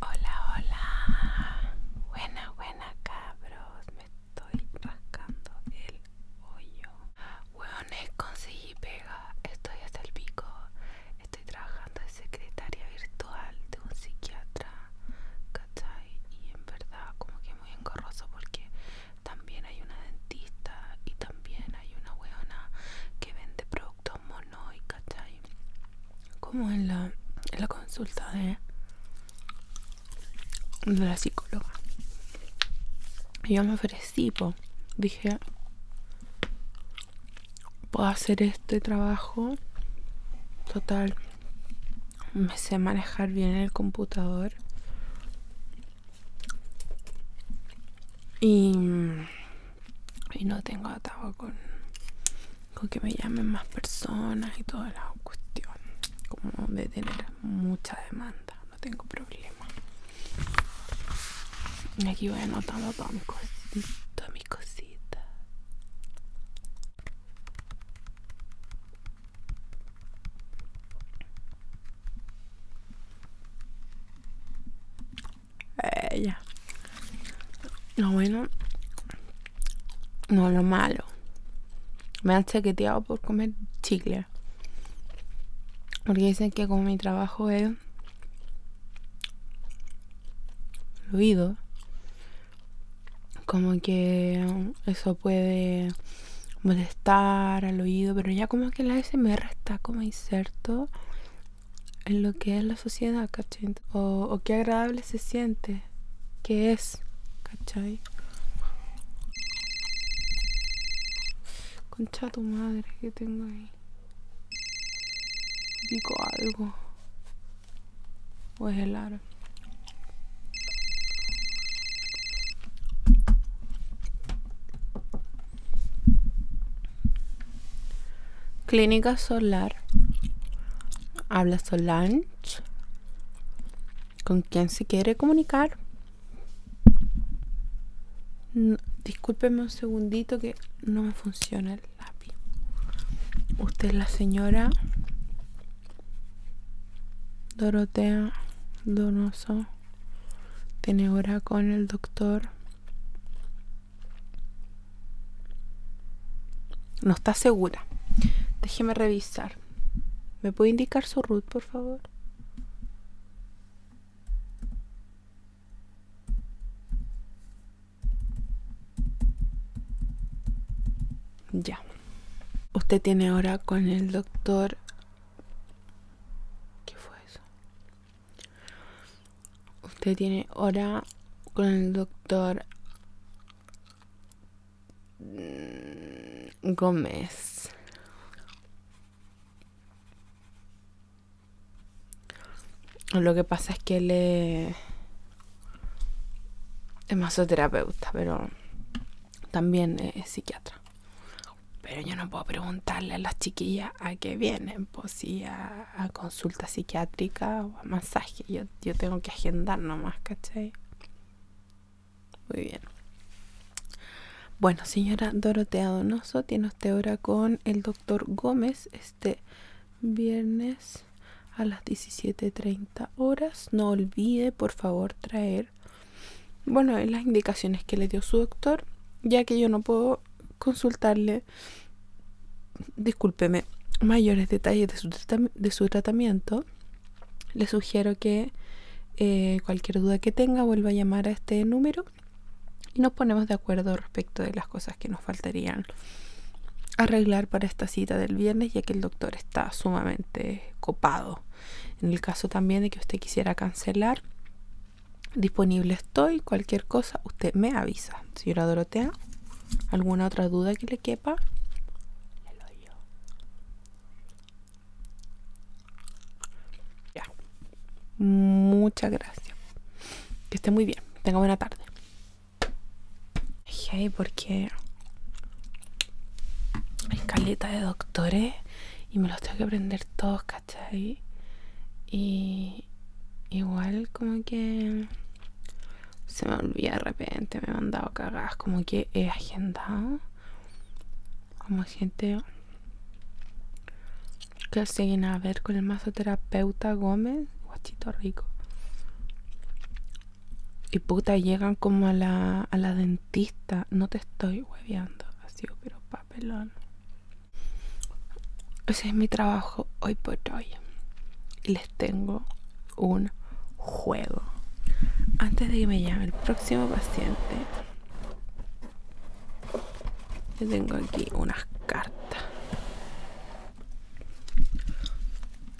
Hola, hola. Buena, buena, cabros. Me estoy rascando el hoyo. Hueones, conseguí pega. Estoy hasta el pico. Estoy trabajando de secretaria virtual de un psiquiatra. ¿Cachai? Y en verdad, como que muy engorroso porque también hay una dentista y también hay una hueona que vende productos no hay ¿cachai? Como en la, en la consulta de, de la psicóloga. Yo me ofrecí, dije, puedo hacer este trabajo. Total, me sé manejar bien el computador. Y y no tengo atado con, que me llamen más personas y toda la cuestión como de tener mucha demanda no tengo problema y aquí voy anotando todas mi cositas mi lo eh, bueno, no lo malo. Me han chaqueteado por comer chicle. Porque dicen que con mi trabajo es oído como que eso puede molestar al oído, pero ya como que la SMR está como inserto en lo que es la sociedad, ¿cachai? O, qué agradable se siente, que es, ¿cachai? Concha tu madre que tengo ahí. Digo algo. O es el Clínica Solar. Habla Solange. ¿Con quien se quiere comunicar? discúlpeme un segundito que no me funciona el lápiz. Usted es la señora Dorotea Donoso. Tiene hora con el doctor no está segura. Déjeme revisar. ¿Me puede indicar su root, por favor? Ya. Usted tiene ahora con el doctor... ¿Qué fue eso? Usted tiene hora con el doctor mm, Gómez. Lo que pasa es que él es, masoterapeuta, pero también es psiquiatra. Pero yo no puedo preguntarle a las chiquillas a qué vienen, pues si a a, consulta psiquiátrica o a masaje. Yo, tengo que agendar nomás, ¿cachai? Muy bien. Bueno, señora Dorotea Donoso, tiene usted hora con el doctor Gómez este viernes a las 17.30 horas. No olvide, por favor, traer, bueno, las indicaciones que le dio su doctor, ya que yo no puedo consultarle discúlpeme, mayores detalles de su, tratamiento, le sugiero que eh, cualquier duda que tenga vuelva a llamar a este número y nos ponemos de acuerdo respecto de las cosas que nos faltarían arreglar para esta cita del viernes ya que el doctor está sumamente copado. En el caso también de que usted quisiera cancelar, disponible estoy, cualquier cosa, usted me avisa. Señora Dorotea, ¿Alguna otra duda que le quepa? Ya. Muchas gracias. Que esté muy bien. Tenga buena tarde. porque escaleta caleta de doctores y me los tengo que aprender todos, ¿cachai? Y igual como que se me olvida de repente, me he mandado cagadas, como que he agendado como gente que siguen a ver con el masoterapeuta Gómez, guachito rico. Y puta, llegan como a la, dentista, no te estoy hueveando, así, pero papelón. Ese es mi trabajo hoy por hoy tengo un juego. Antes de que me llame el próximo paciente, yo tengo aquí unas cartas.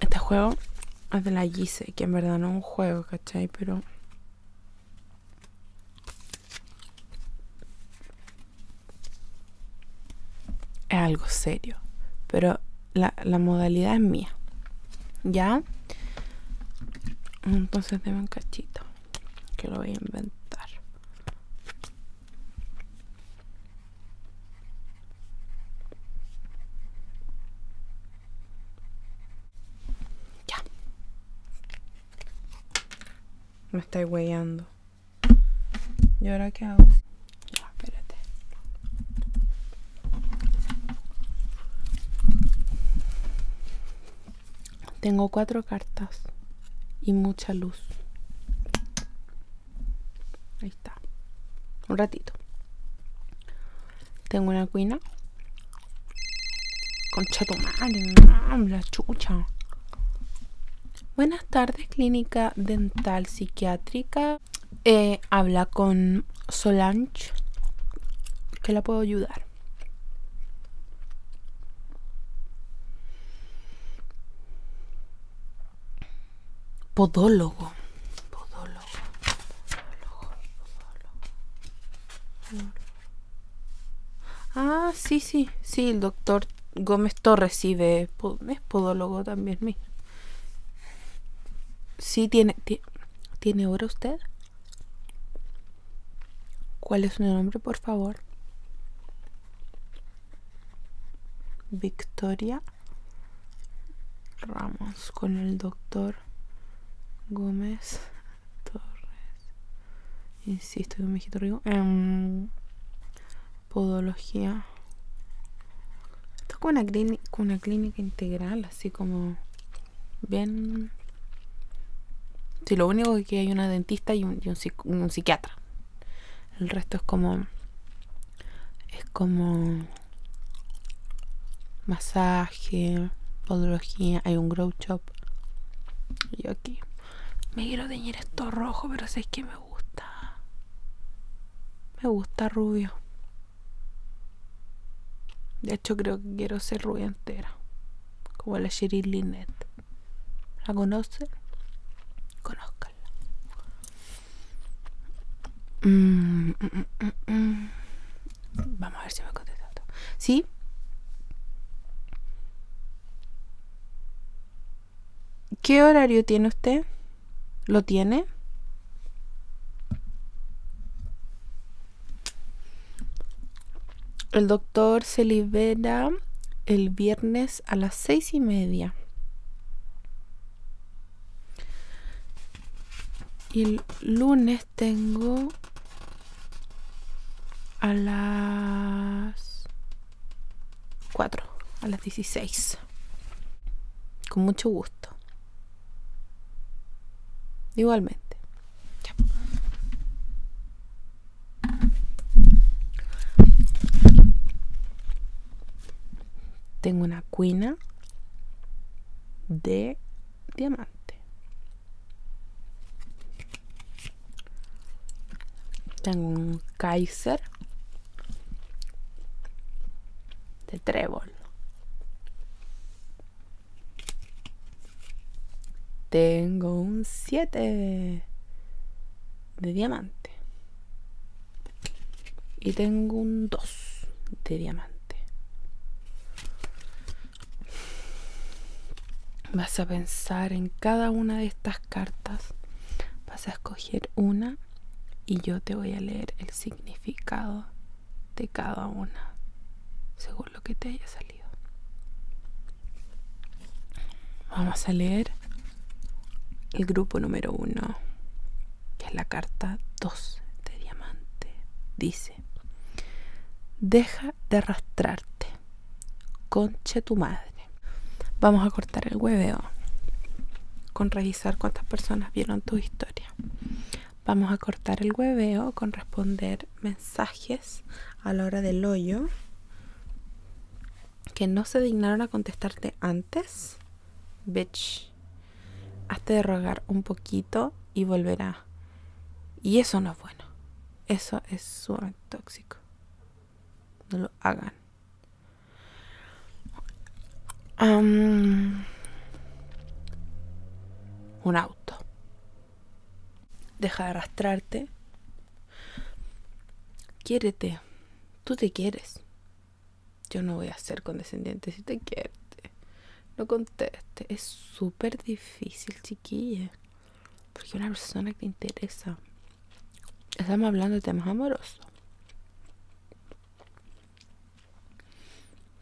Este juego es de la Gise, que en verdad no es un juego, ¿cachai? Pero es algo serio, pero la, modalidad es mía. ¿Ya? Entonces déme un cachito, que lo voy a inventar. Ya. Me está huellando. ¿Y ahora qué hago? Tengo cuatro cartas y mucha luz. Ahí está. Un ratito. Tengo una cuina. Concha tu la chucha. Buenas tardes, Clínica Dental Psiquiátrica. Eh, habla con Solange. ¿Qué la puedo ayudar? Podólogo. Podólogo. Podólogo. Podólogo. Ah, sí, sí, sí, el doctor Gómez Torres sí de, es podólogo también, mío. Sí tiene, tiene, ¿tiene usted? ¿Cuál es su nombre, por favor? Victoria Ramos con el doctor Gómez Torres. Insisto, con podología. Esto es una, clínica, una clínica integral, así como bien... Si lo único que hay una dentista y un, psiquiatra. El resto es como... Es como... Masaje, podología, hay un grow shop. Y aquí. Me quiero teñir esto rojo, pero sé que me me gusta. Me gusta rubio. De hecho, creo que quiero ser rubia entera. Como la shirley Lynette. ¿La conoce? conózcala mm, mm, mm, Vamos a ver si me contesta. ¿Sí? ¿Qué horario tiene usted? ¿Lo tiene? El doctor se libera el viernes a las seis y media. Y el lunes tengo a las 4 a las 16. Con mucho gusto. Igualmente. Tengo una cuina de diamante. Tengo un Kaiser de trébol, tengo un 7 de diamante y tengo un 2 de diamante. Vas a pensar en cada una de estas cartas, vas a escoger una y yo te voy a leer el significado de cada una según lo que te haya salido. Vamos a leer el grupo número uno, que es la carta 2 de diamante. Dice, deja de arrastrarte, conche tu madre. Vamos a cortar el hueveo con revisar cuántas personas vieron tu historia. Vamos a cortar el hueveo con responder mensajes a la hora del hoyo que no se dignaron a contestarte antes. Bitch, hazte de rogar un poquito y volverá. Y eso no es bueno. Eso es súper tóxico. No lo hagan un auto. Deja de arrastrarte. Quiérete. Tú te quieres. Yo no voy a ser condescendiente si te quieres. No conteste. Es súper difícil, chiquilla. Porque una persona que te interesa Estamos hablando de temas amorosos.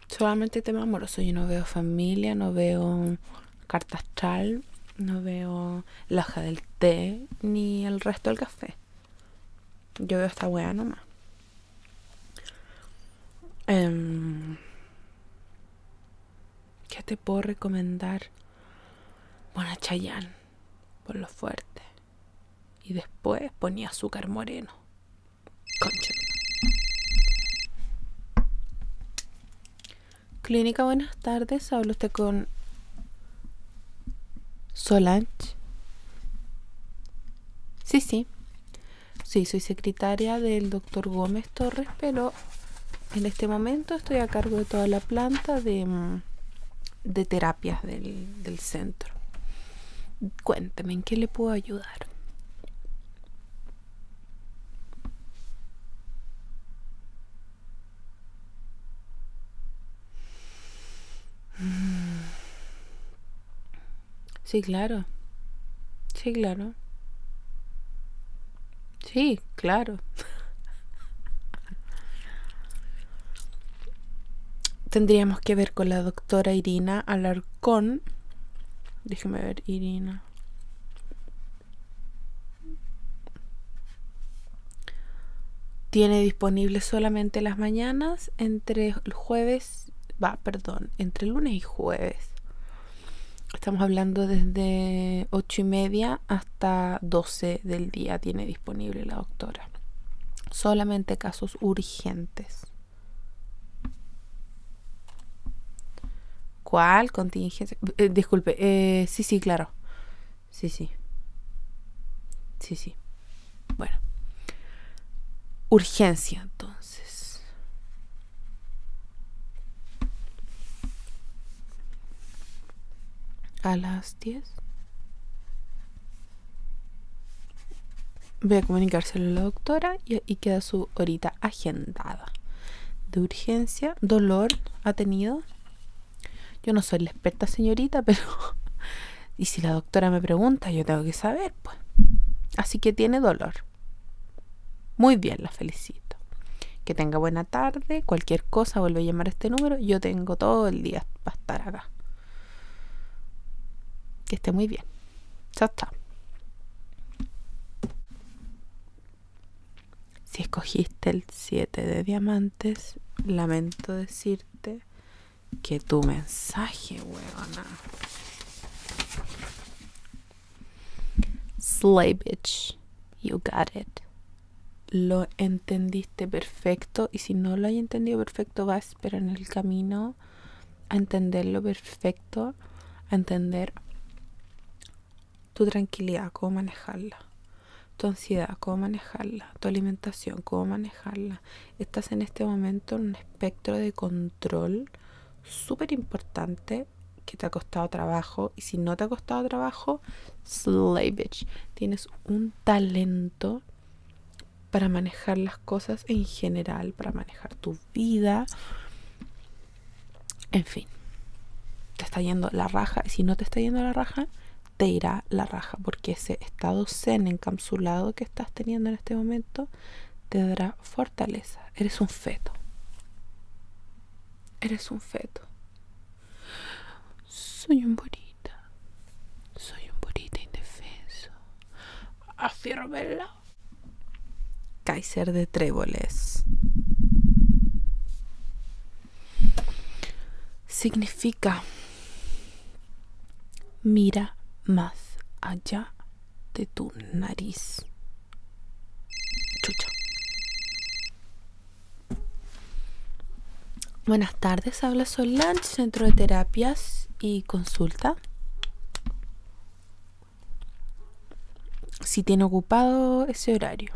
Solamente temas amorosos. Yo no veo familia, no veo cartas astral, no veo la hoja del té, ni el resto del café. Yo veo esta weá nomás. Em, ¿Qué te puedo recomendar? Bueno, Chayanne, por lo fuerte. Y después ponía azúcar moreno. Clínica, buenas tardes. Hablo usted con Solange. Sí, sí. Sí, soy secretaria del doctor Gómez Torres, pero en este momento estoy a cargo de toda la planta de mm, terapia del, centro. Cuénteme, ¿en qué le puedo ayudar? Sí, claro. Sí, claro. Sí, claro tendríamos que ver con la doctora Irina Alarcón. Déjeme ver, Irina. Tiene disponible solamente las mañanas entre el jueves, va, perdón, entre lunes y jueves. Estamos hablando desde ocho y media hasta 12 del día tiene disponible la doctora. Solamente casos urgentes. ¿Cuál contingencia? Eh, disculpe, eh, sí, sí, claro. Sí, sí. Sí, sí. Bueno. Urgencia, entonces. A las Voy a comunicárselo a la doctora y, queda su horita agendada. De urgencia, dolor ha tenido. Yo no soy la experta señorita, pero... y si la doctora me pregunta, yo tengo que saber, pues. Así que tiene dolor. Muy bien, la felicito. Que tenga buena tarde. Cualquier cosa, vuelve a llamar este número. Yo tengo todo el día para estar acá. Que esté muy bien. Chao, chao. Si escogiste el 7 de diamantes, lamento decirte que tu mensaje, huevona. Slay bitch, you got it. Lo entendiste perfecto y si no lo hay entendido perfecto, vas, pero en el camino a entender lo perfecto, a entender tu tranquilidad, cómo manejarla, tu ansiedad, cómo manejarla, tu alimentación, cómo manejarla. Estás en este momento en un espectro de control súper importante que te ha costado trabajo y si no te ha costado trabajo, slave bitch. Tienes un talento para manejar las cosas en general, para manejar tu vida. En fin, te está yendo la raja. Y si no te está yendo la raja, te irá la raja. Porque ese estado zen encapsulado que estás teniendo en este momento te dará fortaleza. Eres un feto. Eres un feto. Soy un bonito. Soy un bonito indefenso. Afírmelo. Kaiser de Tréboles. Significa mira más allá de tu nariz. Chucha. Buenas tardes, habla Solange, Centro de Terapias y Consulta. Si tiene ocupado ese horario.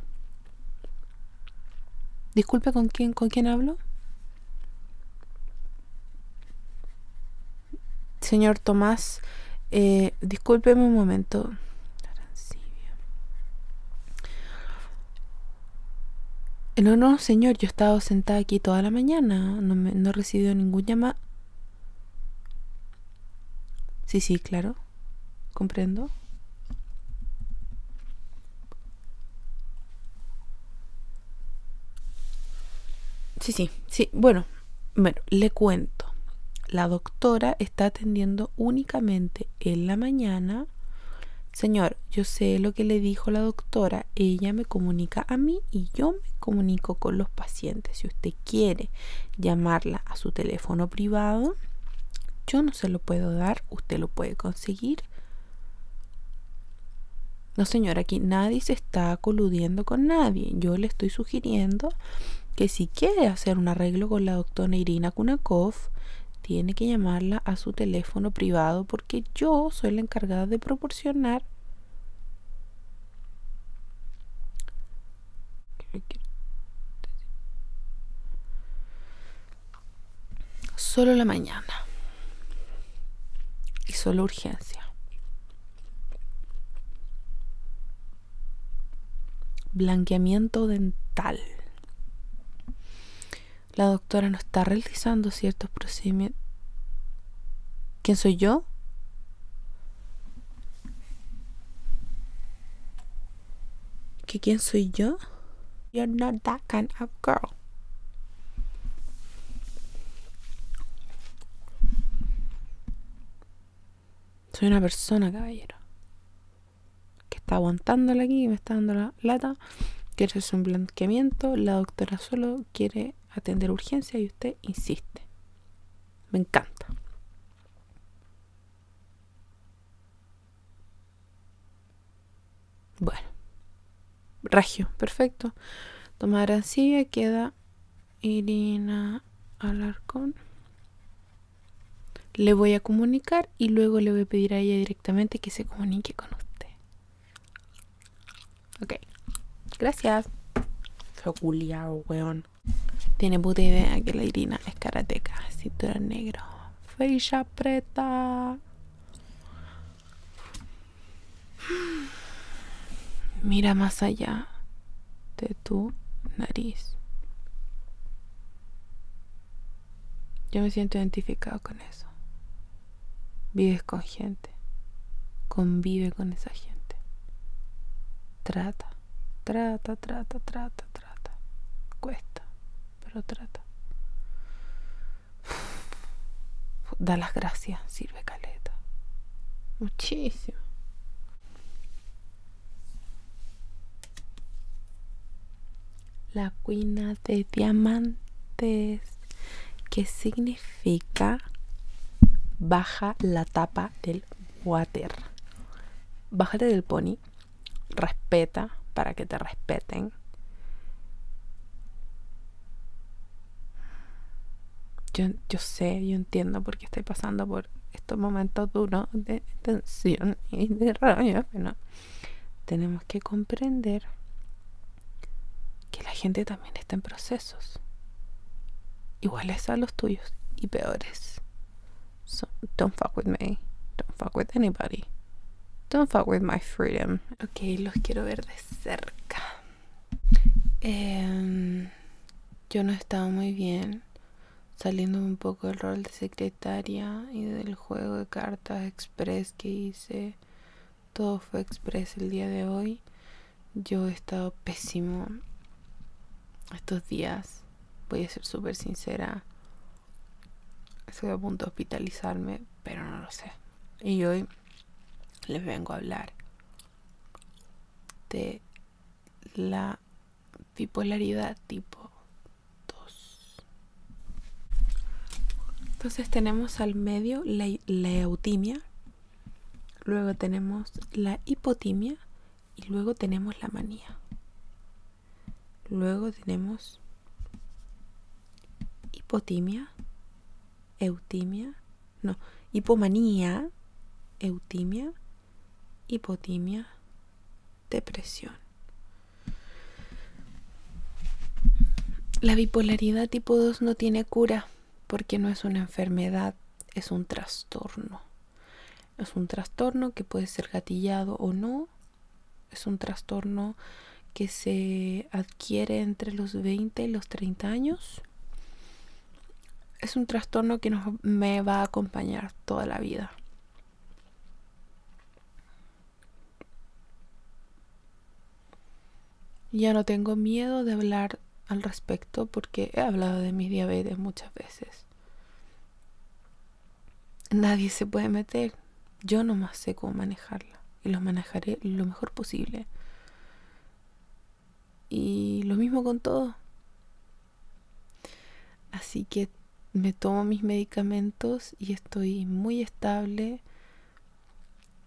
Disculpe, ¿con quién, con quién hablo? Señor Tomás, eh, discúlpeme un momento. No, no, señor, yo he estado sentada aquí toda la mañana, no, me, no he recibido ningún llamado. Sí, sí, claro, comprendo. Sí, sí, sí, bueno, bueno, le cuento. La doctora está atendiendo únicamente en la mañana Señor, yo sé lo que le dijo la doctora, ella me comunica a mí y yo me comunico con los pacientes. Si usted quiere llamarla a su teléfono privado, yo no se lo puedo dar, usted lo puede conseguir. No, señor, aquí nadie se está coludiendo con nadie. Yo le estoy sugiriendo que si quiere hacer un arreglo con la doctora Irina Kunakov, tiene que llamarla a su teléfono privado que yo soy la encargada de proporcionar solo la mañana y solo urgencia. Blanqueamiento dental la doctora no está realizando ciertos procedimientos. ¿Quién soy yo? ¿Que quién soy yo? You're not that kind of girl. Soy una persona, caballero. Que está aguantándola aquí y me está dando la lata que quiere es un blanqueamiento, la doctora solo quiere atender urgencia y usted insiste. Me encanta. Bueno, Regio, perfecto. tomara queda Irina Alarcón. Le voy a comunicar y luego le voy a pedir a ella directamente que se comunique con usted. Ok. Gracias. culiado, weón. Tiene puta idea que la Irina es karateca. eres negro. Feisha preta. Mira más allá de tu nariz. Yo me siento identificado con eso. Vives con gente. Convive con esa gente. Trata, trata, trata, trata, trata. Cuesta, pero trata. Da las gracias, sirve caleta. Muchísimo la cuina de diamantes que significa baja la tapa del water bájate del pony respeta para que te respeten yo, yo sé, yo entiendo por estoy pasando por estos momentos duros de tensión y de rabia, pero tenemos que comprender que la gente también está en procesos iguales a los tuyos y peores. don't fuck with me. Don't fuck with anybody. Don't fuck with my freedom. Ok, los quiero ver de cerca. Em, yo no estaba muy bien. Saliendo un poco del rol de secretaria y del juego de cartas express que hice todo fue express el día de hoy. Yo he estado pésimo estos días. Voy a ser súper sincera. Estoy a punto de hospitalizarme, pero no lo sé. Y hoy les vengo a hablar de la bipolaridad tipo 2. Entonces tenemos al medio la eutimia, luego tenemos la hipotimia y luego tenemos la manía. Luego tenemos hipotimia, eutimia, no, hipomanía, eutimia, hipotimia, depresión. La bipolaridad tipo 2 no tiene cura porque no es una enfermedad, es un trastorno. Es un trastorno que puede ser gatillado o no. Es un trastorno que se adquiere entre los 20 y los 30 años. Es un trastorno que me va a acompañar toda la vida. Ya no tengo miedo de hablar al respecto porque he hablado de mi diabetes muchas veces. Nadie se puede meter. Yo nomás sé cómo manejarla y lo manejaré lo mejor posible. Y lo mismo con todo. Así que me tomo mis medicamentos y estoy muy estable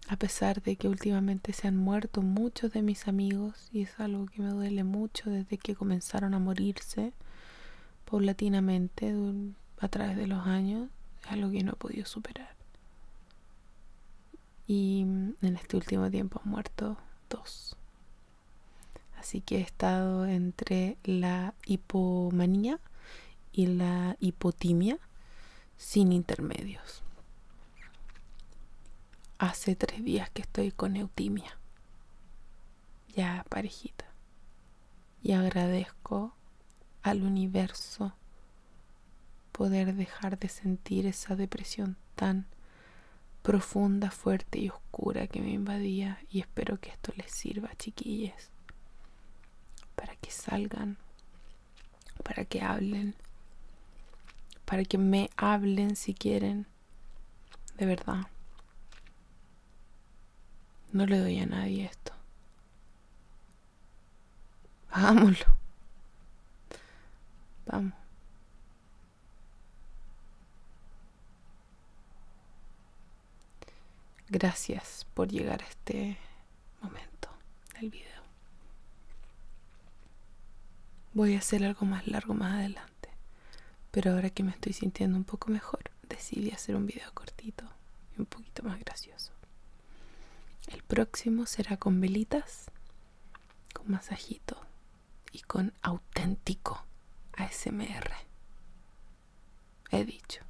a pesar de que últimamente se han muerto muchos de mis amigos y es algo que me duele mucho desde que comenzaron a morirse paulatinamente a través de los años, es algo que no he podido superar. Y en este último tiempo han muerto dos. Así que he estado entre la hipomanía y la hipotimia, sin intermedios. Hace tres días que estoy con eutimia, ya parejita, y agradezco al universo poder dejar de sentir esa depresión tan profunda, fuerte y oscura que me invadía y espero que esto les sirva, chiquillas, para que salgan para que hablen, para que me hablen si quieren, de verdad. No le doy a nadie esto. Hagámoslo. Vamos. Gracias por llegar a este momento del video. Voy a hacer algo más largo más adelante, pero ahora que me estoy sintiendo un poco mejor, decidí hacer un video cortito y un poquito más gracioso. El próximo será con velitas, con masajito y con auténtico ASMR. He dicho.